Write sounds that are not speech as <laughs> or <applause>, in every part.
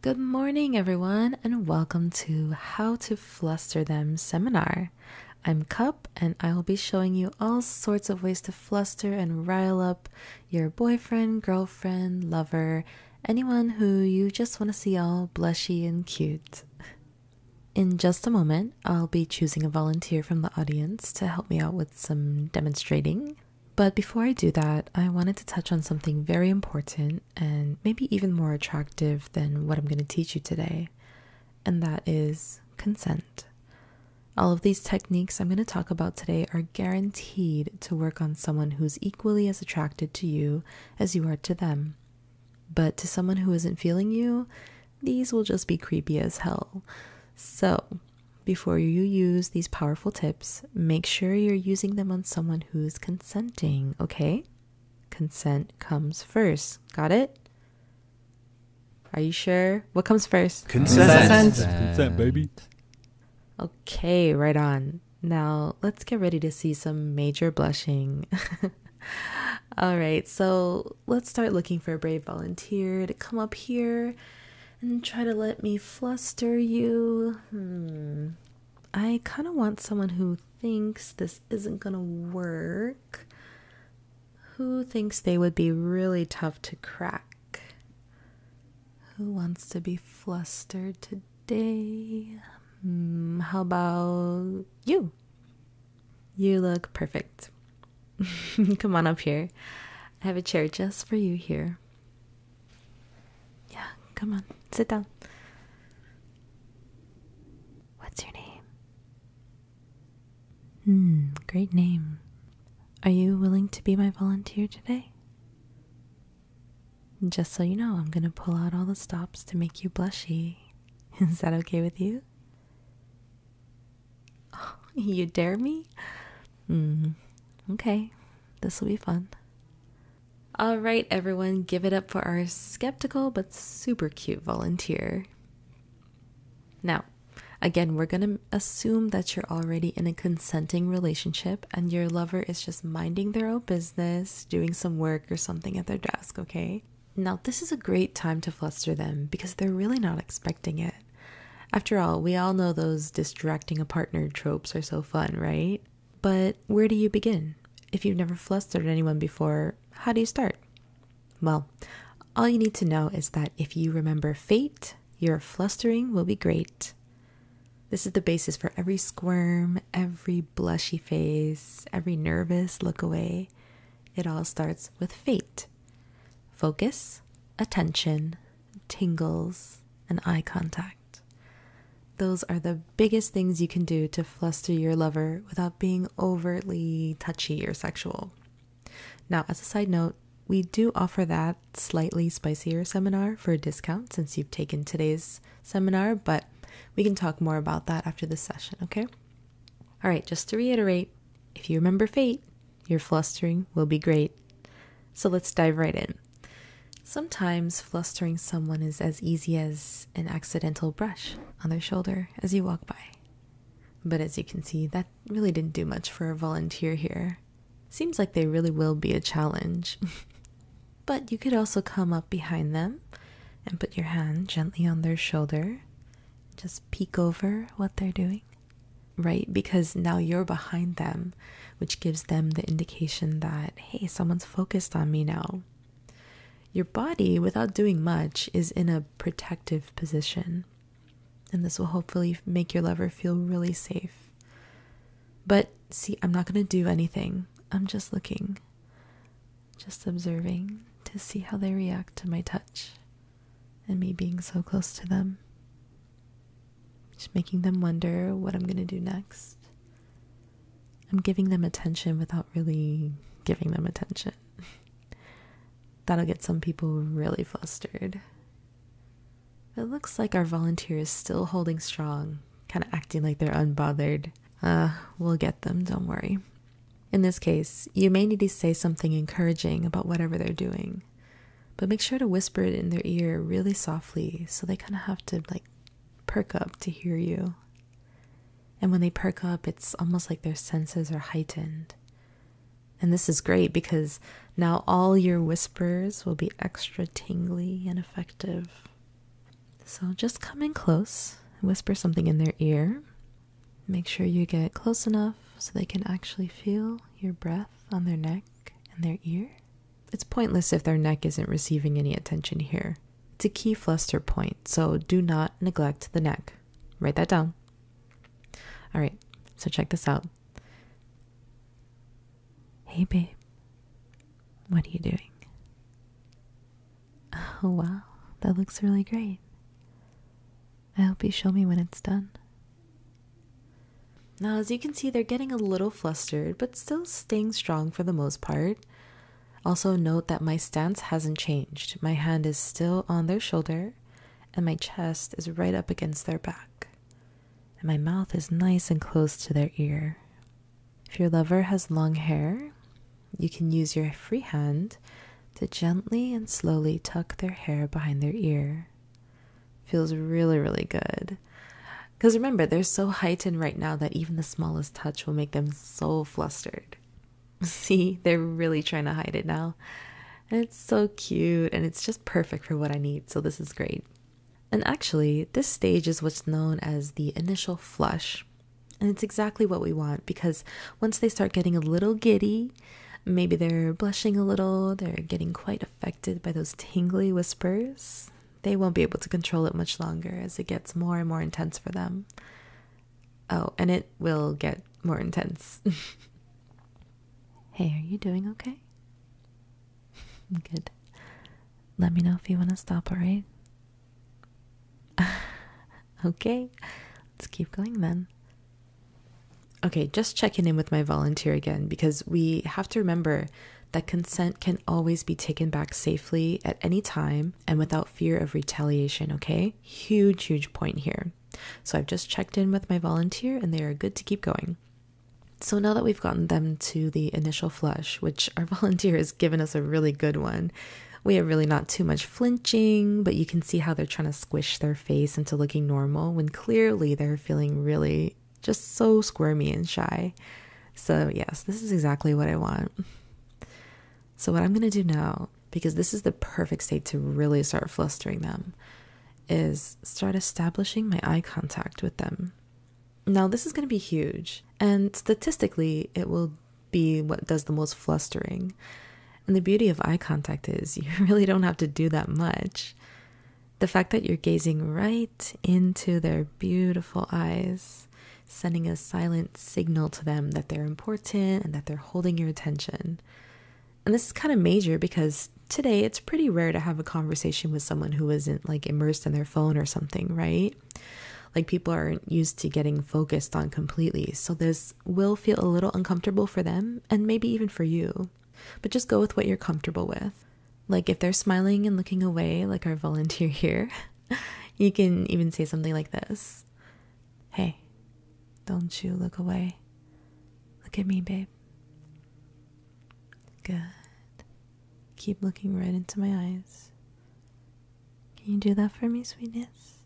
Good morning, everyone, and welcome to How to Fluster Them seminar. I'm Cup, and I will be showing you all sorts of ways to fluster and rile up your boyfriend, girlfriend, lover, anyone who you just want to see all blushy and cute. In just a moment, I'll be choosing a volunteer from the audience to help me out with some demonstrating. But before I do that, I wanted to touch on something very important and maybe even more attractive than what I'm going to teach you today, and that is consent. All of these techniques I'm going to talk about today are guaranteed to work on someone who's equally as attracted to you as you are to them. But to someone who isn't feeling you, these will just be creepy as hell. So, before you use these powerful tips, make sure you're using them on someone who's consenting, okay? Consent comes first. Got it? Are you sure? What comes first? Consent. Consent, Consent. Consent baby. Okay, right on. Now, let's get ready to see some major blushing. <laughs> All right, so let's start looking for a brave volunteer to come up here and try to let me fluster you. Hmm. I kind of want someone who thinks this isn't going to work, who thinks they would be really tough to crack, who wants to be flustered today. Hmm, how about you? You look perfect. <laughs> Come on up here. I have a chair just for you here. Yeah, come on. Sit down. What's your name? Hmm, great name. Are you willing to be my volunteer today? Just so you know, I'm gonna pull out all the stops to make you blushy. <laughs> Is that okay with you? <laughs> you dare me? Hmm. Okay. This will be fun. All right, everyone, give it up for our skeptical but super cute volunteer. Now, again, we're going to assume that you're already in a consenting relationship and your lover is just minding their own business, doing some work or something at their desk, okay? Now, this is a great time to fluster them because they're really not expecting it. After all, we all know those distracting a partner tropes are so fun, right? But where do you begin? If you've never flustered anyone before, how do you start? Well, all you need to know is that if you remember fate, your flustering will be great. This is the basis for every squirm, every blushy face, every nervous look away. It all starts with fate focus, attention, tingles, and eye contact. Those are the biggest things you can do to fluster your lover without being overtly touchy or sexual. Now, as a side note, we do offer that slightly spicier seminar for a discount since you've taken today's seminar, but we can talk more about that after this session, okay? All right, just to reiterate, if you remember fate, your flustering will be great. So let's dive right in. Sometimes flustering someone is as easy as an accidental brush on their shoulder as you walk by. But as you can see, that really didn't do much for a volunteer here. Seems like they really will be a challenge. <laughs> but you could also come up behind them and put your hand gently on their shoulder. Just peek over what they're doing right? Because now you're behind them, which gives them the indication that, hey, someone's focused on me now. Your body, without doing much, is in a protective position. And this will hopefully make your lover feel really safe. But see, I'm not going to do anything. I'm just looking, just observing to see how they react to my touch and me being so close to them. Just making them wonder what I'm going to do next. I'm giving them attention without really giving them attention. <laughs> That'll get some people really flustered. It looks like our volunteer is still holding strong, kind of acting like they're unbothered. Uh, we'll get them, don't worry. In this case, you may need to say something encouraging about whatever they're doing, but make sure to whisper it in their ear really softly so they kind of have to like perk up to hear you. And when they perk up, it's almost like their senses are heightened. And this is great because now all your whispers will be extra tingly and effective. So just come in close, whisper something in their ear, Make sure you get close enough so they can actually feel your breath on their neck and their ear. It's pointless if their neck isn't receiving any attention here. It's a key fluster point, so do not neglect the neck. Write that down. All right, so check this out. Hey, babe, what are you doing? Oh, wow, that looks really great. I hope you show me when it's done. Now, as you can see, they're getting a little flustered, but still staying strong for the most part. Also, note that my stance hasn't changed. My hand is still on their shoulder, and my chest is right up against their back. And my mouth is nice and close to their ear. If your lover has long hair, you can use your free hand to gently and slowly tuck their hair behind their ear. Feels really, really good. Because remember, they're so heightened right now that even the smallest touch will make them so flustered. <laughs> See, they're really trying to hide it now. And it's so cute and it's just perfect for what I need, so this is great. And actually, this stage is what's known as the initial flush and it's exactly what we want because once they start getting a little giddy, maybe they're blushing a little, they're getting quite affected by those tingly whispers, they won't be able to control it much longer as it gets more and more intense for them. Oh, and it will get more intense. <laughs> hey, are you doing okay? <laughs> Good. Let me know if you want to stop, alright? <laughs> okay, let's keep going then. Okay, just checking in with my volunteer again because we have to remember that consent can always be taken back safely at any time and without fear of retaliation, okay? Huge, huge point here. So I've just checked in with my volunteer and they are good to keep going. So now that we've gotten them to the initial flush, which our <laughs> volunteer has given us a really good one, we have really not too much flinching, but you can see how they're trying to squish their face into looking normal when clearly they're feeling really just so squirmy and shy. So, yes, this is exactly what I want. So, what I'm going to do now, because this is the perfect state to really start flustering them, is start establishing my eye contact with them. Now, this is going to be huge, and statistically, it will be what does the most flustering. And the beauty of eye contact is <laughs> you really don't have to do that much. The fact that you're gazing right into their beautiful eyes, sending a silent signal to them that they're important and that they're holding your attention. And this is kind of major because today it's pretty rare to have a conversation with someone who isn't like immersed in their phone or something, right? Like people aren't used to getting focused on completely, so this will feel a little uncomfortable for them and maybe even for you. But just go with what you're comfortable with. Like if they're smiling and looking away, like our <laughs> volunteer here, you can even say something like this Hey, don't you look away. Look at me, babe. Good. Keep looking right into my eyes. Can you do that for me, sweetness?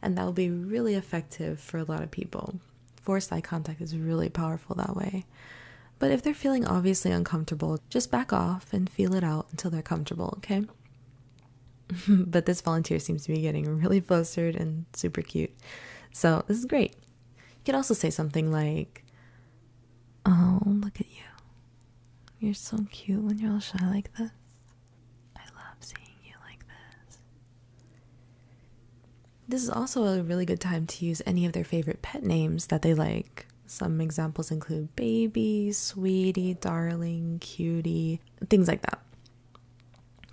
And that will be really effective for a lot of people. Forced eye contact is really powerful that way. But if they're feeling obviously uncomfortable, just back off and feel it out until they're comfortable, okay? <laughs> but this volunteer seems to be getting really flustered and super cute. So this is great. You can also say something like, Oh, look at you. You're so cute when you're all shy like this. I love seeing you like this. This is also a really good time to use any of their favorite pet names that they like. Some examples include baby, sweetie, darling, cutie, things like that.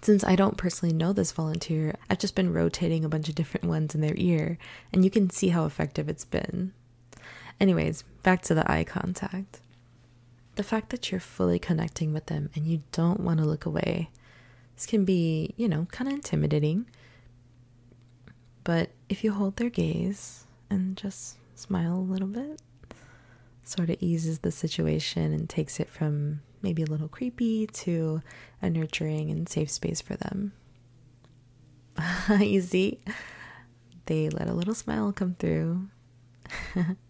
Since I don't personally know this volunteer, I've just been rotating a bunch of different ones in their ear, and you can see how effective it's been. Anyways, back to the eye contact. The fact that you're fully connecting with them and you don't want to look away, this can be, you know, kind of intimidating. But if you hold their gaze and just smile a little bit, sort of eases the situation and takes it from maybe a little creepy to a nurturing and safe space for them. <laughs> you see? They let a little smile come through.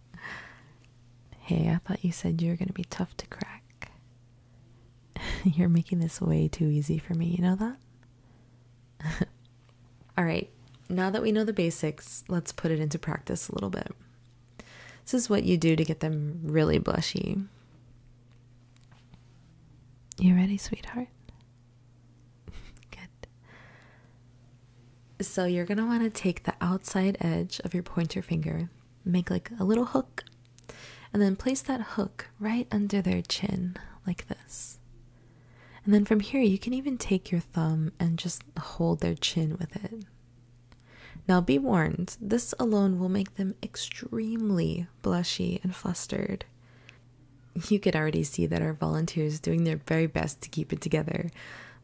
<laughs> hey, I thought you said you were going to be tough to crack. <laughs> You're making this way too easy for me, you know that? All right, now that we know the basics, let's put it into practice a little bit. This is what you do to get them really blushy. You ready, sweetheart? <laughs> Good. So, you're going to want to take the outside edge of your pointer finger, make like a little hook, and then place that hook right under their chin, like this. And then from here, you can even take your thumb and just hold their chin with it. Now, be warned, this alone will make them extremely blushy, and flustered. You could already see that our volunteers are doing their very best to keep it together,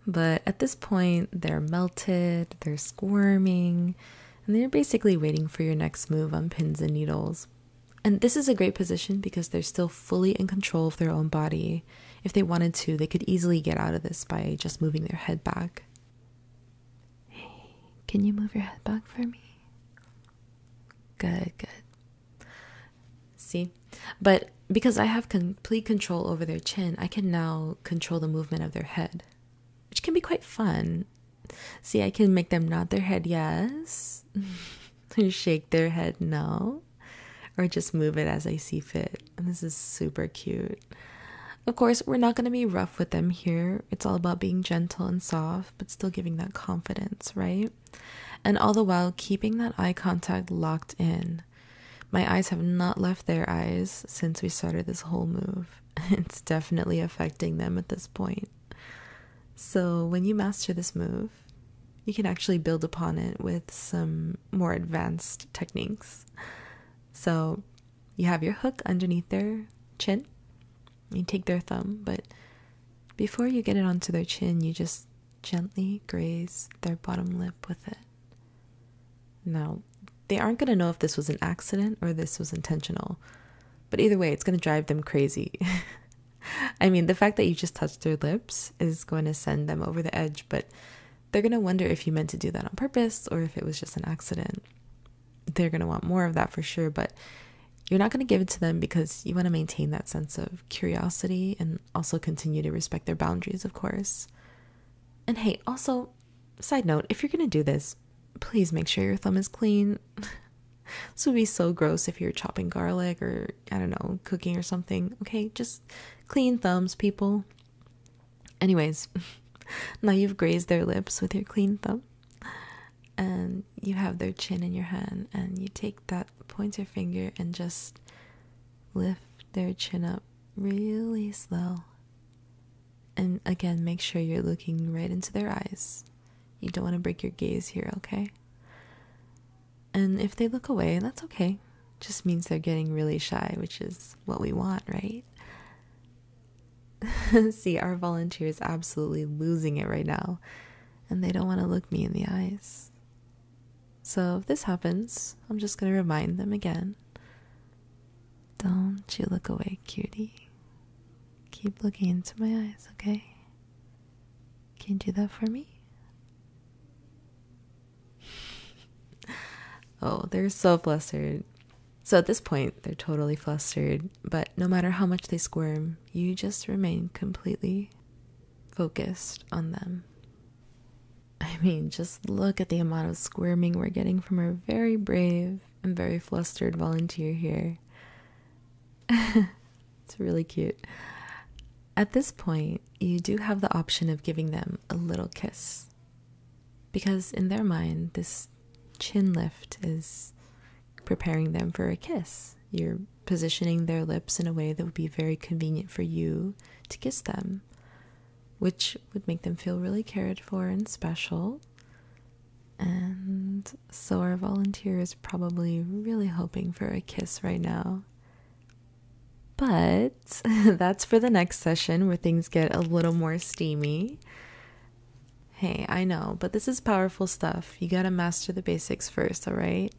but at this point they're melted, they're squirming, and they're basically waiting for your next move on pins and needles. And this is a great position because they're still fully in control of their own body. If they wanted to, they could easily get out of this by just moving their head back. Hey, can you move your head back for me? Good, good. See? But because I have complete control over their chin, I can now control the movement of their head, which can be quite fun. See, I can make them nod their head yes, or <laughs> shake their head no, or just move it as I see fit. And this is super cute. Of course, we're not going to be rough with them here. It's all about being gentle and soft, but still giving that confidence, right? And all the while, keeping that eye contact locked in. My eyes have not left their eyes since we started this whole move. <laughs> It's definitely affecting them at this point. So, when you master this move, you can actually build upon it with some more advanced techniques. So, you have your hook underneath their chin. You take their thumb, but before you get it onto their chin, you just gently graze their bottom lip with it. Now, they aren't going to know if this was an accident or this was intentional, but either way, it's going to drive them crazy. <laughs> I mean, the fact that you just touched their lips is going to send them over the edge, but they're going to wonder if you meant to do that on purpose or if it was just an accident they're going to want more of that for sure, but you're not going to give it to them because you want to maintain that sense of curiosity and also continue to respect their boundaries, of course. And hey, also, side note, if you're going to do this, please make sure your thumb is clean. <laughs> this would be so gross if you're chopping garlic or, I don't know, cooking or something. Okay, just clean thumbs, people. Anyways, <laughs> now you've grazed their lips with your clean thumb, and you have their chin in your hand, and you take that pointer finger and just lift their chin up really slow. And again, make sure you're looking right into their eyes. You don't want to break your gaze here, okay? And if they look away, that's okay. Just means they're getting really shy, which is what we want, right? <laughs> See, our volunteer is absolutely losing it right now, and they don't want to look me in the eyes. So, if this happens, I'm just going to remind them again. Don't you look away, cutie. Keep looking into my eyes, okay? Can you do that for me? <laughs> oh, they're so flustered. So at this point, they're totally flustered, but no matter how much they squirm, you just remain completely focused on them. <laughs> I mean, just look at the amount of squirming we're getting from our very brave and very flustered volunteer here. <laughs> it's really cute. At this point, you do have the option of giving them a little kiss because in their mind this chin lift is preparing them for a kiss you're positioning their lips in a way that would be very convenient for you to kiss them which would make them feel really cared for and special and so our volunteer is probably really hoping for a kiss right now but <laughs> that's for the next session where things get a little more steamy. Hey, I know, but this is powerful stuff. You gotta master the basics first, alright?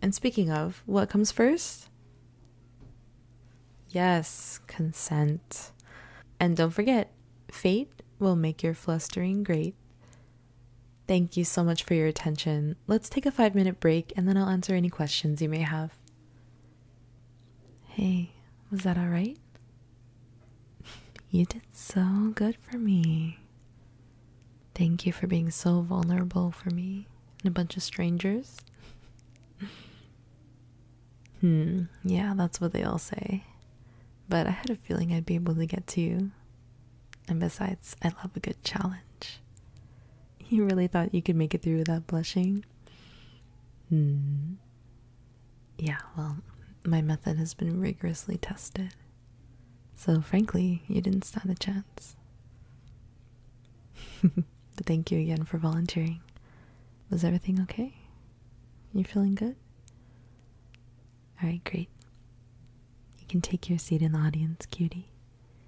And speaking of, what comes first? Yes, consent. And don't forget, fate will make your flustering great. Thank you so much for your attention. Let's take a five minute break and then I'll answer any questions you may have. Hey, was that alright? <laughs> You did so good for me. Thank you for being so vulnerable for me and a bunch of strangers. <laughs> hmm, yeah, that's what they all say. But I had a feeling I'd be able to get to you. And besides, I love a good challenge. You really thought you could make it through without blushing? Hmm. Yeah, well, my method has been rigorously tested. So, frankly, you didn't stand a chance. <laughs> thank you again for volunteering. Was everything okay? You feeling good? Alright, great. You can take your seat in the audience, cutie.